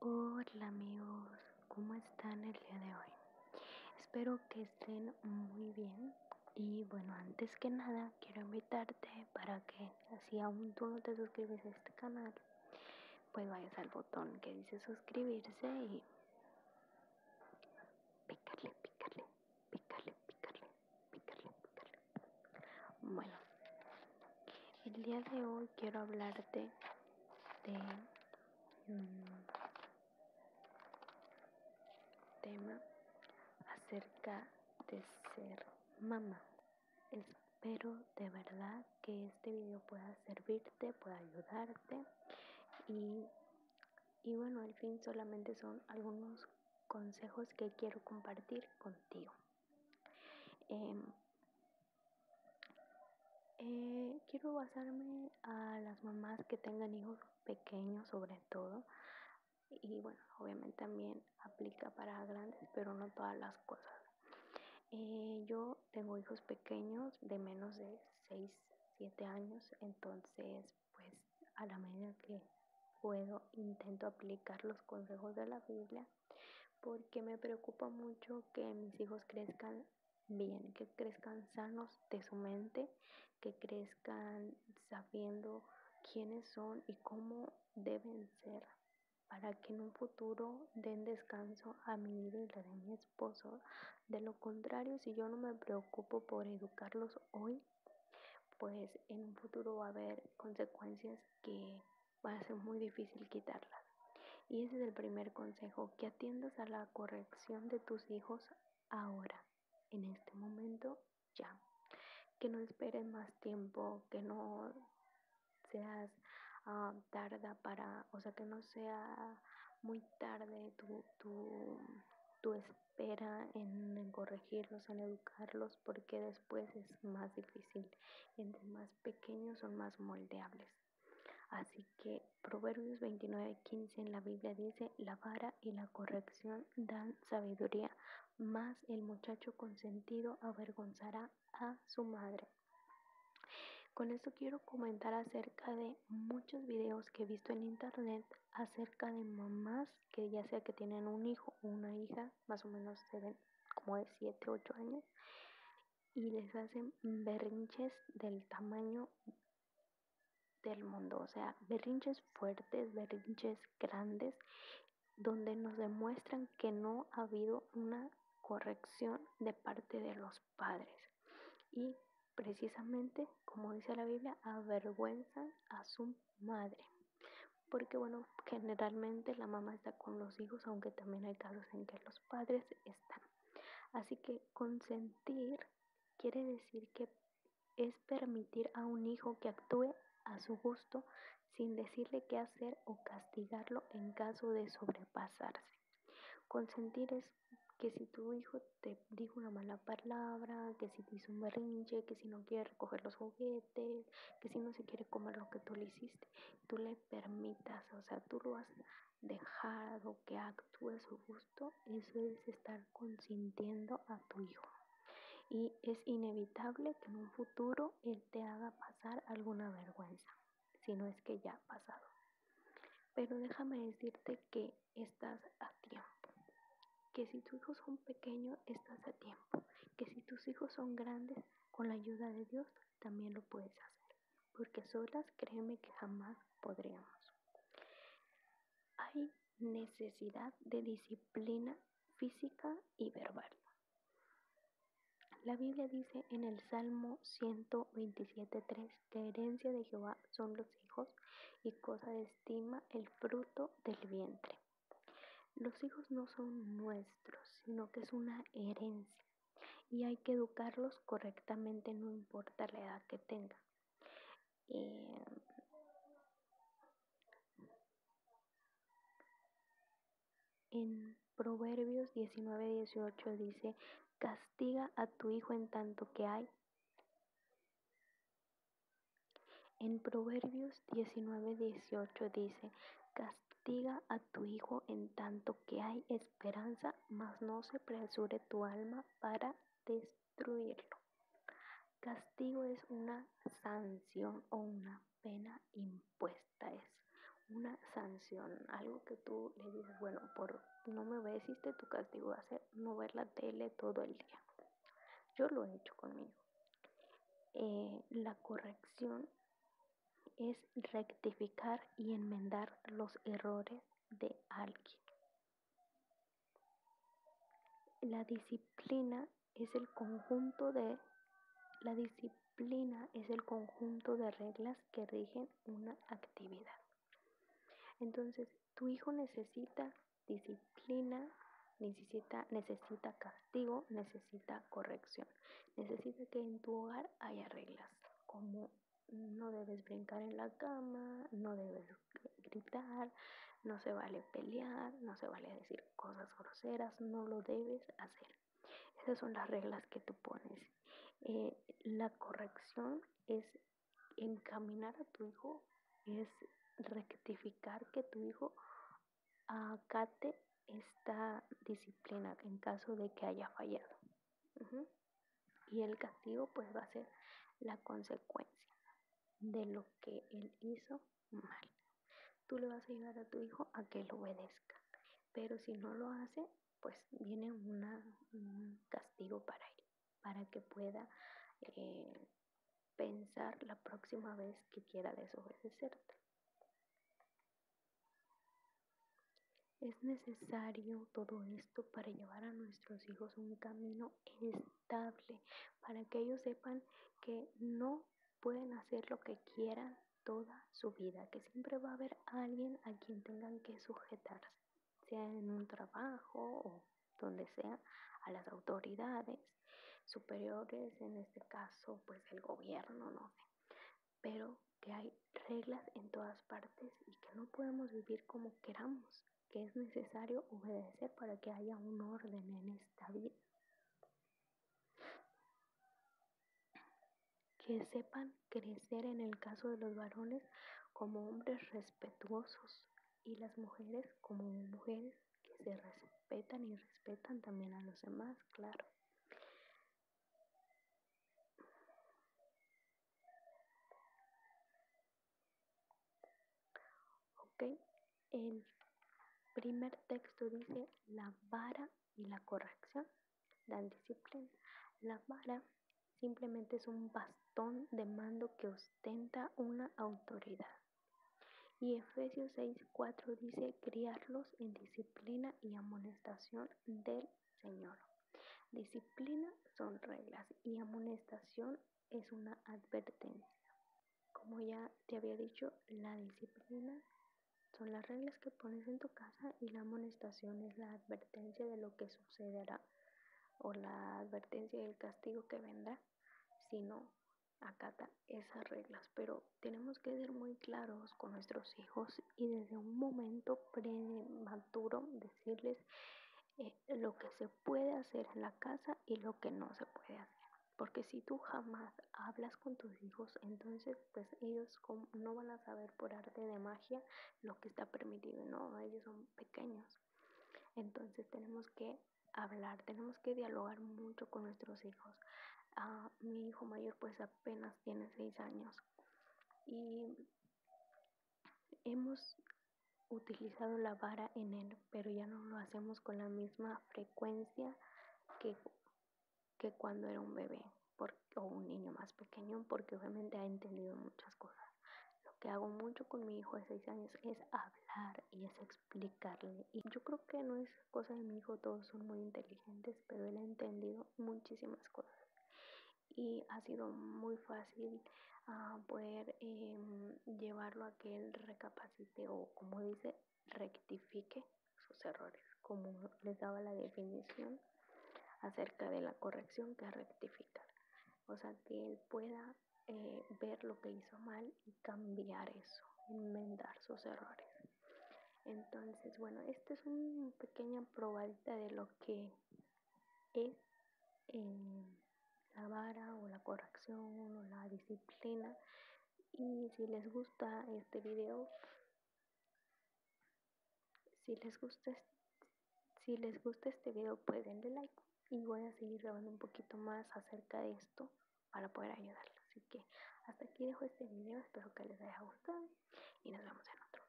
Hola amigos, ¿cómo están el día de hoy? Espero que estén muy bien. Y bueno, antes que nada, quiero invitarte para que, si aún tú no te suscribes a este canal, pues vayas al botón que dice suscribirse y picarle, picarle, picarle, picarle, picarle, bueno, el día de hoy quiero hablarte de un mm, tema acerca de ser mamá. Espero de verdad que este video pueda servirte, pueda ayudarte y, y bueno, al fin solamente son algunos consejos que quiero compartir contigo. Em, eh, quiero basarme a las mamás que tengan hijos pequeños sobre todo y bueno, obviamente también aplica para grandes, pero no todas las cosas. Eh, yo tengo hijos pequeños de menos de 6, 7 años, entonces pues a la medida que puedo, intento aplicar los consejos de la Biblia porque me preocupa mucho que mis hijos crezcan bien, que crezcan sanos de su mente, que crezcan sabiendo quiénes son y cómo deben ser para que en un futuro den descanso a mi vida y la mi esposo. De lo contrario, si yo no me preocupo por educarlos hoy, pues en un futuro va a haber consecuencias que va a ser muy difícil quitarlas. Y ese es el primer consejo, que atiendas a la corrección de tus hijos ahora, en este momento, ya. Que no esperes más tiempo, que no seas ah, tarda para, o sea, que no sea muy tarde tu, tu, tu, Espera en corregirlos, en educarlos, porque después es más difícil. Entre más pequeños son más moldeables. Así que Proverbios 29, 15 en la Biblia dice, la vara y la corrección dan sabiduría, más el muchacho consentido avergonzará a su madre. Con esto quiero comentar acerca de muchos videos que he visto en internet acerca de mamás que ya sea que tienen un hijo o una hija, más o menos ven como de 7, 8 años, y les hacen berrinches del tamaño del mundo, o sea, berrinches fuertes, berrinches grandes, donde nos demuestran que no ha habido una corrección de parte de los padres precisamente, como dice la Biblia, avergüenzan a su madre. Porque bueno, generalmente la mamá está con los hijos, aunque también hay casos en que los padres están. Así que consentir quiere decir que es permitir a un hijo que actúe a su gusto sin decirle qué hacer o castigarlo en caso de sobrepasarse. Consentir es que si tu hijo te digo una mala palabra, que si te hizo un berrinche, que si no quiere recoger los juguetes, que si no se quiere comer lo que tú le hiciste, tú le permitas, o sea, tú lo has dejado que actúe a su gusto, eso es estar consintiendo a tu hijo. Y es inevitable que en un futuro él te haga pasar alguna vergüenza, si no es que ya ha pasado. Pero déjame decirte que estás a tiempo. Que si tus hijos son pequeños, estás a tiempo. Que si tus hijos son grandes, con la ayuda de Dios, también lo puedes hacer. Porque solas, créeme que jamás podríamos. Hay necesidad de disciplina física y verbal. La Biblia dice en el Salmo 127.3, la herencia de Jehová son los hijos y cosa de estima el fruto del vientre. Los hijos no son nuestros, sino que es una herencia y hay que educarlos correctamente, no importa la edad que tengan. Eh, en Proverbios 19 dice, castiga a tu hijo en tanto que hay. En Proverbios 19, 18 dice, castiga a tu hijo en tanto que hay esperanza, mas no se presure tu alma para destruirlo. Castigo es una sanción o una pena impuesta esta es una sanción, algo que tú le dices, bueno, por no me obedeciste tu castigo va a ser no ver la tele todo el día. Yo lo he hecho conmigo. Eh, la corrección es rectificar y enmendar los errores de alguien. La disciplina es el conjunto de la disciplina disciplina es el conjunto de reglas que rigen una actividad. Entonces, tu hijo necesita disciplina, necesita, castigo, necesita corrección. Necesita que en tu hogar haya reglas, como no debes brincar en la cama, no debes gritar, no se vale pelear, no se vale decir cosas groseras, no lo debes hacer. Esas son las reglas que tú pones. Eh, la corrección es encaminar a tu hijo, es rectificar que tu hijo acate esta disciplina en caso de que haya fallado. Y el castigo pues va a ser la consecuencia de lo que él hizo mal. Tú le vas a ayudar a tu hijo a que lo obedezca. Pero si no lo hace, pues viene un castigo para él, para que pueda eh, pensar la próxima vez que quiera desobedecerte. Es necesario todo esto para llevar a nuestros hijos un camino estable, para que ellos sepan que no pueden hacer lo que quieran toda su vida, que siempre va a haber alguien a quien tengan que sujetarse, sea en un trabajo o donde sea, a las autoridades superiores, en este caso, pues el gobierno, no sé. Pero que hay reglas en todas partes y que no podemos vivir como queramos, que es necesario obedecer para que haya un orden en esta vida que sepan crecer en el caso de los varones como hombres respetuosos y las mujeres como mujeres que se respetan y respetan también a los demás, claro. ¿ok? El primer texto dice la vara y la corrección, la disciplina. La vara simplemente es un bastón de mando que ostenta una autoridad. Y Efesios 6:4 dice, criarlos en disciplina y amonestación del Señor. Disciplina son reglas y amonestación es una advertencia. Como ya te había dicho, la disciplina son las reglas que pones en tu casa y la amonestación es la advertencia de lo que sucederá o la advertencia del castigo que vendrá si no acata esas reglas. Pero tenemos que ser muy claros con nuestros hijos y desde un momento prematuro decirles eh, lo que se puede hacer en la casa y lo que no se puede hacer. Porque si tú jamás hablas con tus hijos, entonces pues ellos no van a saber por arte de magia lo que está permitido. No, ellos son pequeños. Entonces tenemos que hablar, tenemos que dialogar mucho con nuestros hijos. Ah, mi hijo mayor pues apenas tiene seis años y Hemos utilizado la vara en él, pero ya no lo hacemos con la misma frecuencia que, cuando era un bebé o un niño más pequeño, porque obviamente ha entendido muchas cosas. Lo que hago mucho con mi hijo de seis años es hablar y es explicarle. Y yo creo que no es cosa de mi hijo, todos son muy inteligentes, pero él ha entendido muchísimas cosas y ha sido muy fácil ah, poder em, llevarlo a que él recapacite o como dice, rectifique sus errores, como les daba la definición acerca de la corrección que rectificar. O sea, que él pueda eh, ver lo que hizo mal y cambiar eso, enmendar sus errores. Entonces, bueno, esta es una pequeña probadita de lo que en eh, la vara o la corrección o la disciplina. Y si les gusta este video, si les gusta, si les gusta este video, pues denle like y voy a seguir grabando un poquito más acerca de esto para poder ayudarlos. Así que hasta aquí dejo este video, espero que les haya gustado y nos vemos en otro.